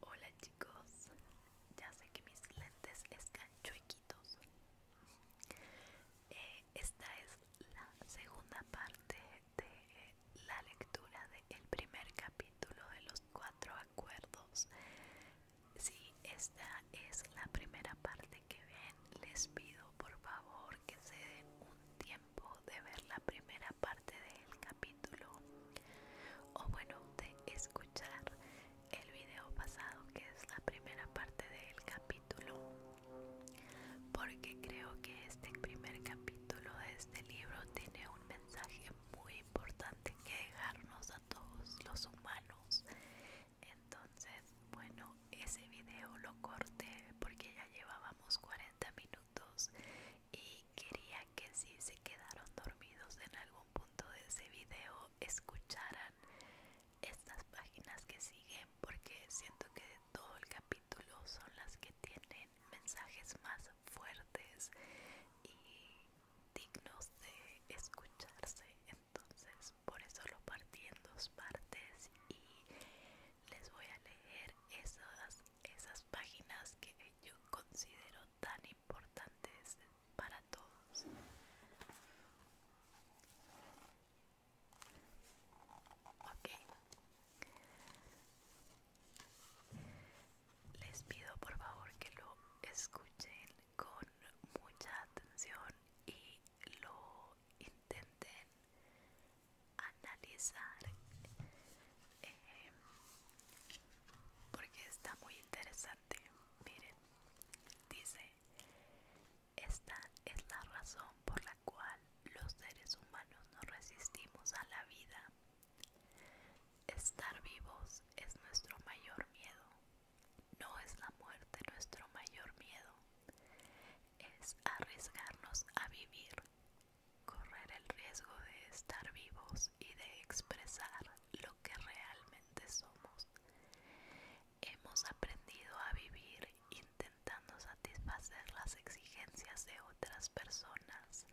Hola chicos, ya sé que mis lentes están chuequitos. Eh, esta es la segunda parte de la lectura del primer capítulo de los cuatro acuerdos. Si esta es la primera parte que ven, les pido por favor que se den un tiempo de verla primera parte del capítulo o bueno de escuchar el video pasado que es la primera parte del capítulo porque creo que este primer capítulo de este libro tiene un mensaje muy importante que dejarnos a todos los humanos entonces bueno ese video lo corté porque ya llevábamos 40 minutos y quería que si se quedaron dormidos en algún punto de ese video escucharan estas páginas que siguen porque siento que de todo el capítulo son las que tienen mensajes más fuertes y dignos de escucharse entonces por eso lo partí en dos partes y les voy a leer esas esas páginas que yo considero tan importantes para todos. Les pido por favor que lo escuchen con mucha atención y lo intenten analizar em, porque está muy interesante miren dice esta es la razón por la cual los seres humanos nos resistimos a la vida estar vivos es nuestro mayor miedo no es la muerte nuestro mayor miedo es arriesgarnos a vivir correr el riesgo de estar vivos y de expresar lo que realmente somos. Hemos aprendido a vivir intentando satisfacer las exigencias de otras personas.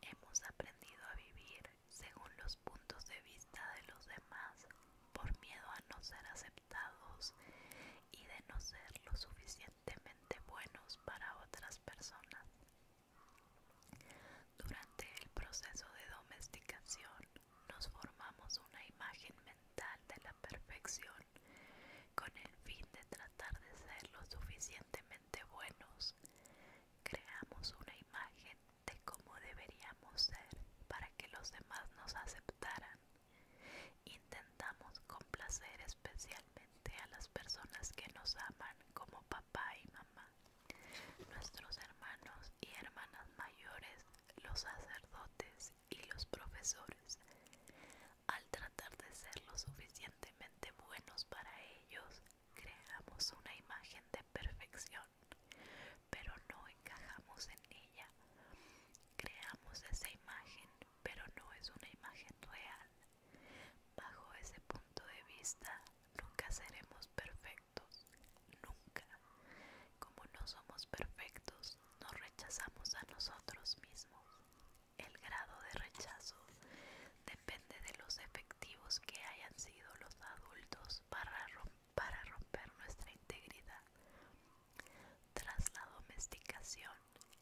Hemos aprendido a vivir según los puntos de vista de los demás por miedo a no ser aceptados y de no ser lo suficientemente buenos para otras personas. Durante el proceso de domesticación nos formamos una imagen mental de la perfección con el fin de tratar de ser lo suficientemente buenos. Creamos una imagen de cómo deberíamos ser para que los demás nos aceptaran. Intentamos complacer especialmente a las personas que nos aman como papá y mamá, nuestros hermanos y hermanas mayores, los sacerdotes y los profesores. Al tratar de ser lo suficientemente buenos para ellos, creamos una imagen de perfección, pero no encajamos en ella. Creamos esa imagen pero no es una imagen real. Bajo ese punto de vista, nunca seremos perfectos, nunca. Como no somos perfectos, nos rechazamos a nosotros mismos. El grado de rechazo depende de los efectivos que hayan sido los adultos para, para romper nuestra integridad. Tras la domesticación,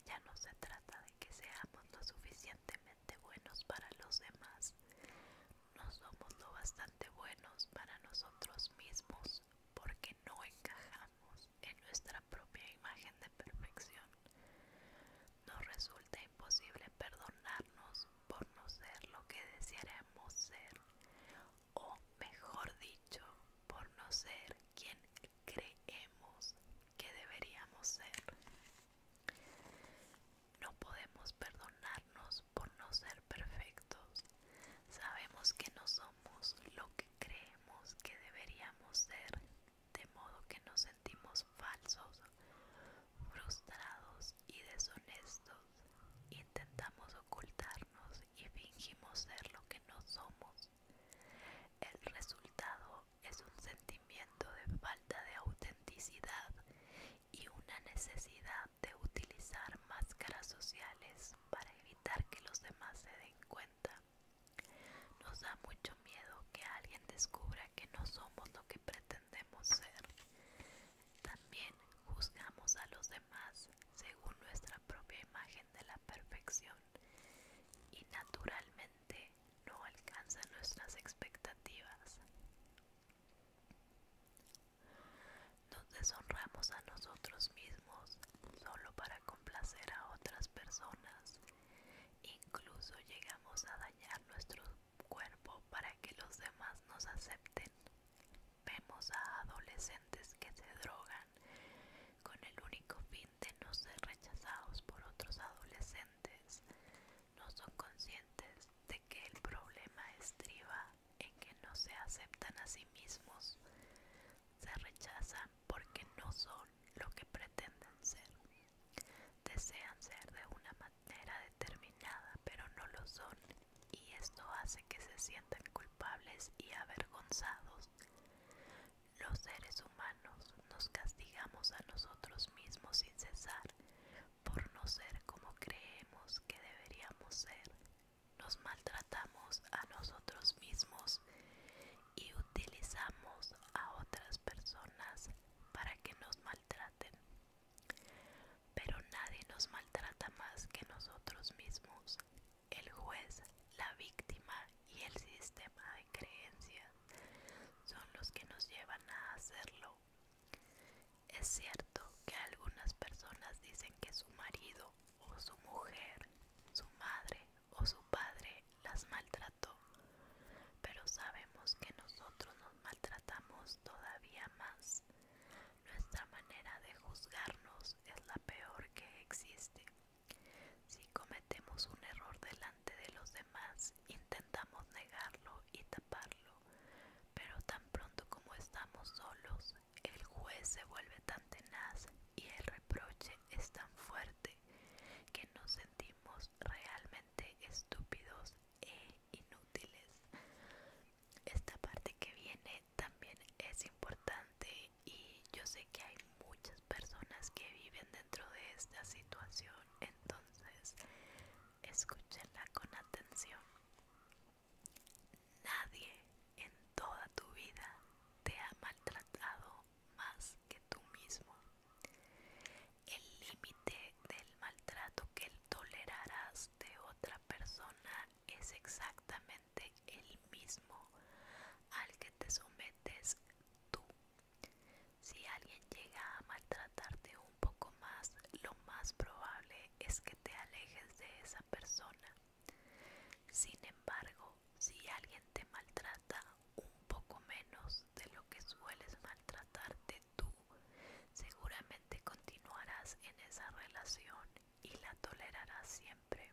ya no se trata de que seamos lo suficientemente buenos para los demás, no somos lo bastante buenos para nosotros mismos porque no encajamos en nuestra propia imagen de perfección. Nos resulta imposible perdonarnos por no ser lo que desearemos ser, o mejor dicho, por no ser quien creemos que deberíamos ser. No podemos perdonarnos por no ser perfectos. Sabemos que no somos lo que creemos que deberíamos ser, de modo que nos sentimos falsos, frustrados y deshonestos. Intentamos ocultarnos y fingimos ser lo que no somos. El resultado es un sentimiento de falta de autenticidad y una necesidad de utilizar máscaras sociales para evitar que los demás se den cuenta. Nos da mucho miedo que alguien descubra que no somos lo que pretendemos ser. También juzgamos a los demás según nuestra propia imagen de la perfección y naturalmente no alcanza nuestras expectativas. Nos deshonramos a nosotros mismos solo para complacer a otras personas. Incluso llegamos a dañar nuestro cuerpo para que los demás nos acepten. Vemos a adolescentes que se drogan con el único fin de no ser rechazados por otros adolescentes, no son conscientes de que el problema estriba en que no se aceptan a sí mismos, se rechazan porque no son lo que pretenden ser, desean ser de una manera determinada pero no lo son y esto hace que se sientan culpables y avergonzados. Los seres humanos nos castigamos a nosotros mismos sin cesar por no ser como creemos que deberíamos ser. Nos maltratamos a nosotros mismos y utilizamos a otras personas para que nos maltraten. Pero nadie nos maltrata más que nosotros mismos el juez, la víctima y el sistema de creencias son los que nos llevan a hacerlo. Es cierto que algunas personas dicen que su marido o su mujer, su madre o su padre las maltrató, pero sabemos que nosotros nos maltratamos todavía más. Nuestra manera de juzgarnos es la peor que existe. Si cometemos un error delante de los demás, intentamos negarlo y taparlo, pero tan pronto como estamos solos, el juez se vuelve tan tenaz y el reproche es tan fuerte que nos sentimos realmente estúpidos e inútiles. Esta parte que viene también es importante y yo sé que hay muchas personas que viven dentro de esta situación, entonces escúchenla con atención. Nadie en toda tu vida te ha maltratado más que tú mismo. El límite del maltrato que tolerarás de otra persona es exactamente el mismo al que te sometes tú. Si alguien llega a maltratarte un poco más, lo más probable es que te alejes de esa persona. Sin embargo, si alguien te maltrata un poco menos de lo que sueles maltratarte tú, seguramente continuarás en esa relación y la tolerarás siempre.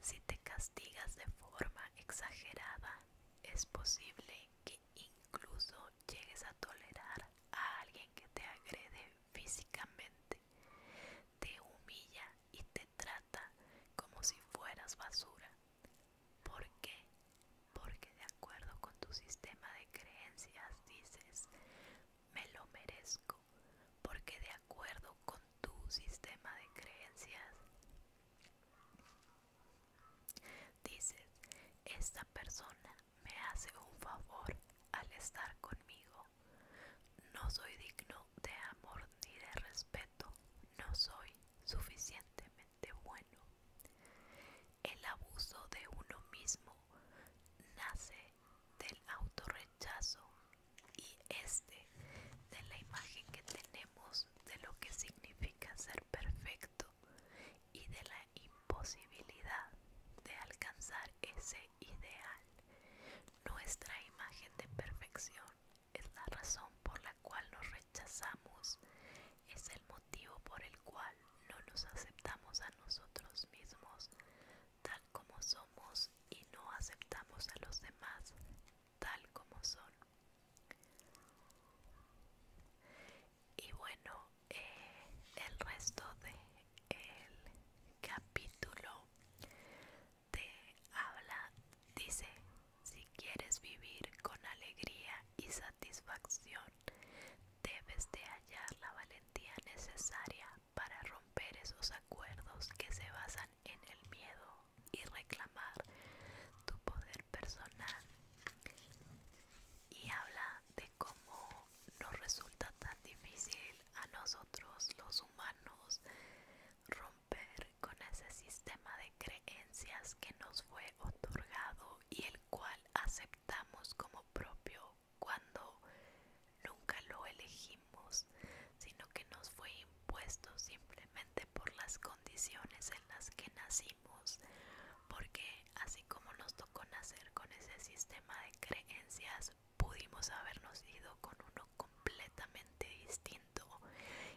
Si te castigas de forma exagerada, es posible que incluso llegues a tolerar a alguien que te agrede físicamente, te humilla y te trata como si fueras basura. ¿Por qué? Porque de acuerdo con tu sistema de creencias dices, me lo merezco porque de acuerdo con tu sistema de creencias, dices, esta persona me hace un favor al estar conmigo, no soy digno de amor ni de respeto, no soy suficientemente bueno. El abuso de uno mismo nace del autorrechazo y este de la imagen que tenemos de lo que significa ser perfecto y de la imposibilidad de alcanzar ese ideal. Nuestra imagen de perfección es la razón por la cual nos rechazamos, es el motivo por el cual no nos aceptamos a nosotros mismos, tal como somos y no aceptamos a los demás tal como son. Y bueno, eh, el resto del capítulo te habla, dice, si quieres vivir con alegría y satisfacción, debes de hallar la valentía necesaria para romper esos acuerdos que se basan en el miedo y reclamar tu poder personal. Y habla de cómo nos resulta tan difícil a nosotros los humanos romper con ese sistema de creencias que nos fue otorgado y el cual aceptamos como propio cuando nunca lo elegimos, sino que nos fue impuesto simplemente por las condiciones en las que nacimos, porque así como nos tocó nacer con ese sistema de creencias, pudimos habernos ido con uno completamente distinto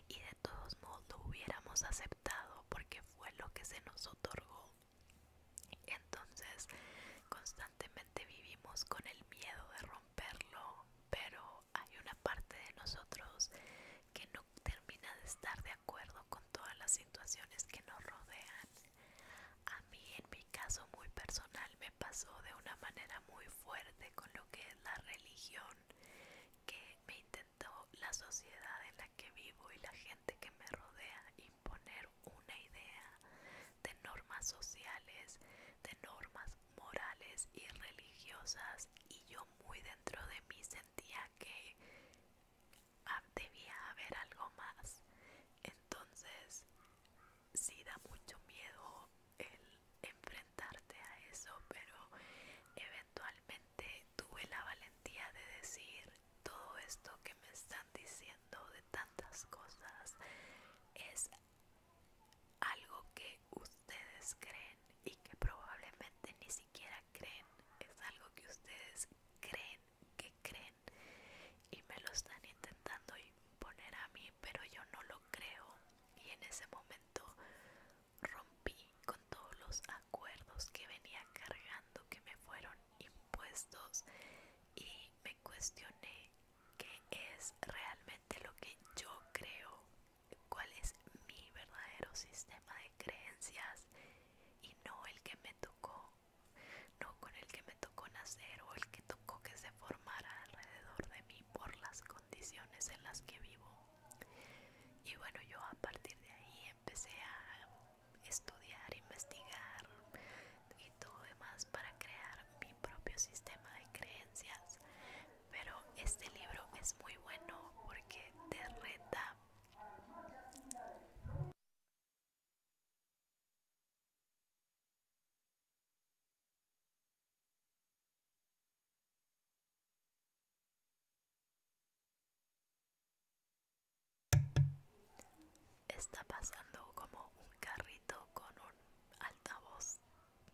y de todos modos lo hubiéramos aceptado porque fue lo que se nos otorgó. Entonces constantemente vivimos con el miedo de romperlo, pero hay una parte de nosotros que no termina de estar de acuerdo con todas las situaciones que nos rodean. A mí en mi caso muy personal me pasó de una manera muy fuerte con lo que es la religión que me intentó la sociedad en la que vivo y la gente que me rodea poner una idea de normas sociales, de normas morales y religiosas y yo muy dentro de mí sentía que ah, debía haber algo más. Entonces, sí da mucho miedo el enfrentarte a eso, pero eventualmente tuve la valentía de decir, todo esto que me están diciendo de tantas cosas es algo que ustedes creen y que probablemente ni siquiera creen, es algo que ustedes creen que creen y me lo están intentando imponer a mí, pero yo no lo creo y en ese momento rompí con todos los acuerdos que venía cargando que me fueron impuestos y me cuestioné qué es realmente lo que yo creo, cuál es mi verdadero sistema de creencias y no el que me tocó, no con el que me tocó nacer o el que tocó que se formara alrededor de mí por las condiciones en las que vivo. Y bueno, yo a partir de ahí empecé a estudiar, investigar y todo demás para crear mi propio sistema de creencias. Pero este libro es muy bueno porque te reta. Está pasando como un carrito con un altavoz.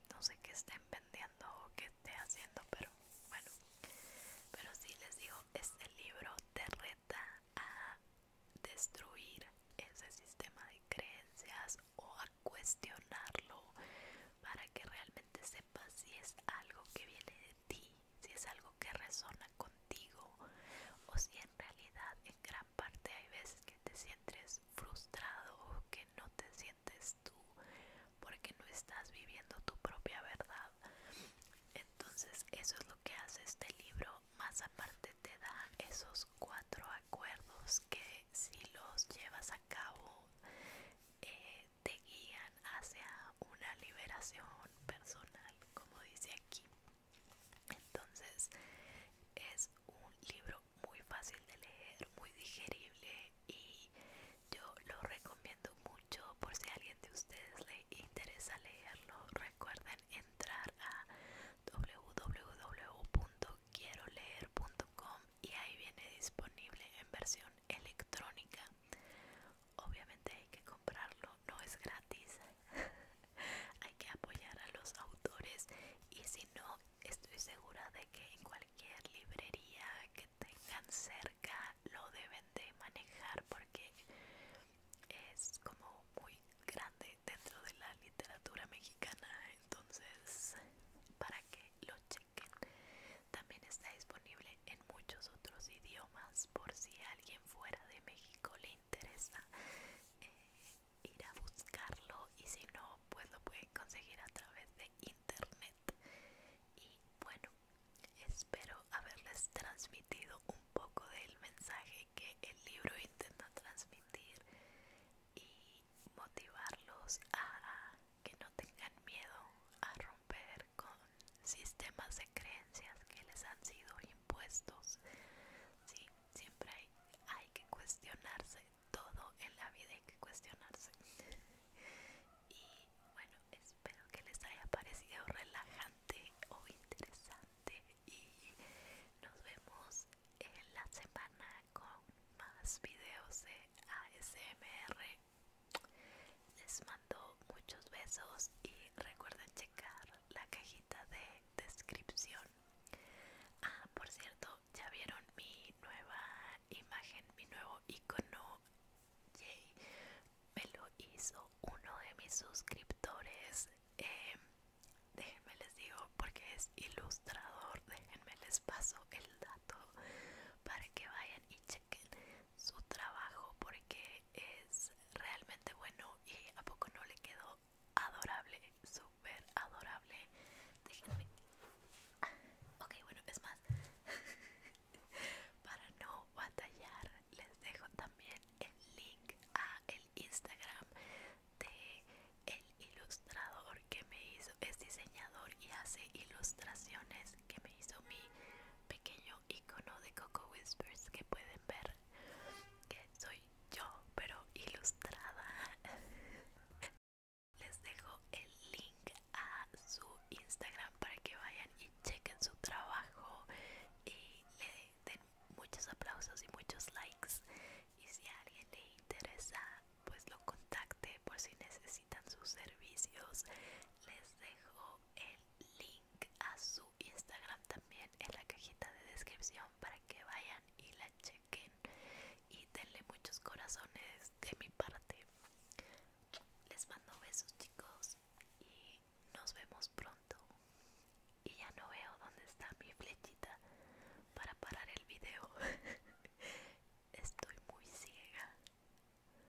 No sé qué estén vendiendo o qué esté haciendo, pero bueno. Pero sí les digo, este libro te reta a destruir ese sistema de creencias o a cuestionarlo para que realmente sepas si es algo que viene de si es algo que resona contigo o si en realidad en gran parte hay veces que te sientes frustrado o que no te sientes tú porque no estás viviendo tu propia verdad. Entonces eso es lo que hace este libro, más aparte te da esos cuatro acuerdos que si los llevas a cabo eh, te guían hacia una liberación personal, como dice entonces es un libro muy fácil de leer, muy digerible y yo lo recomiendo mucho por si a alguien de ustedes le interesa leerlo. Recuerden entrar a www.quieroleer.com y ahí viene disponible en versión electrónica obviamente hay que comprarlo, no es gratis. hay que apoyar a los autores y si no, estoy segura de que en cualquier librería que tengan cerca lo deben de manejar porque es como muy grande dentro de la literatura mexicana entonces para que lo chequen también está disponible en muchos otros idiomas por si alguien fuera de México le interesa eh, ir a buscarlo y si no pues lo pueden conseguir a través de internet y bueno espero haberles transmitido un poco del mensaje que el libro intenta transmitir y motivarlos a que no tengan miedo a romper con sistemas de creencias que les han sido impuestos. siempre hay, hay que cuestionarse, todo en la vida hay que cuestionarse. Y bueno, espero que les haya parecido relajante o interesante y nos vemos en la semana con más videos de ASMR les mando muchos besos y recuerden checar la cajita de descripción. Ah, por cierto, ya vieron mi nueva imagen, mi nuevo icono. Me lo hizo uno de mis suscriptores. Em, déjenme les digo porque es ilustrador. Déjenme les paso el dato para que vayan y chequen su trabajo porque es realmente bueno y a poco no le quedó adorable, súper adorable. Déjenme. Ah, ok, bueno, es más, para no batallar, les dejo también el link a el Instagram de el ilustrador que me hizo, es diseñador y hace ilustraciones que me hizo mi pequeño icono de Coco Whispers que pueden ver que soy yo pero ilustrada les dejo el link a su Instagram para que vayan y chequen su trabajo y le den muchos aplausos y muchos likes y si a alguien le interesa pues lo contacte por si necesitan sus servicios les dejo el link a su Instagram también en la cajita de descripción para que vayan y la chequen y denle muchos corazones de mi parte. Les mando besos chicos y nos vemos pronto. Y ya no veo dónde está mi flechita para parar el video. Estoy muy ciega.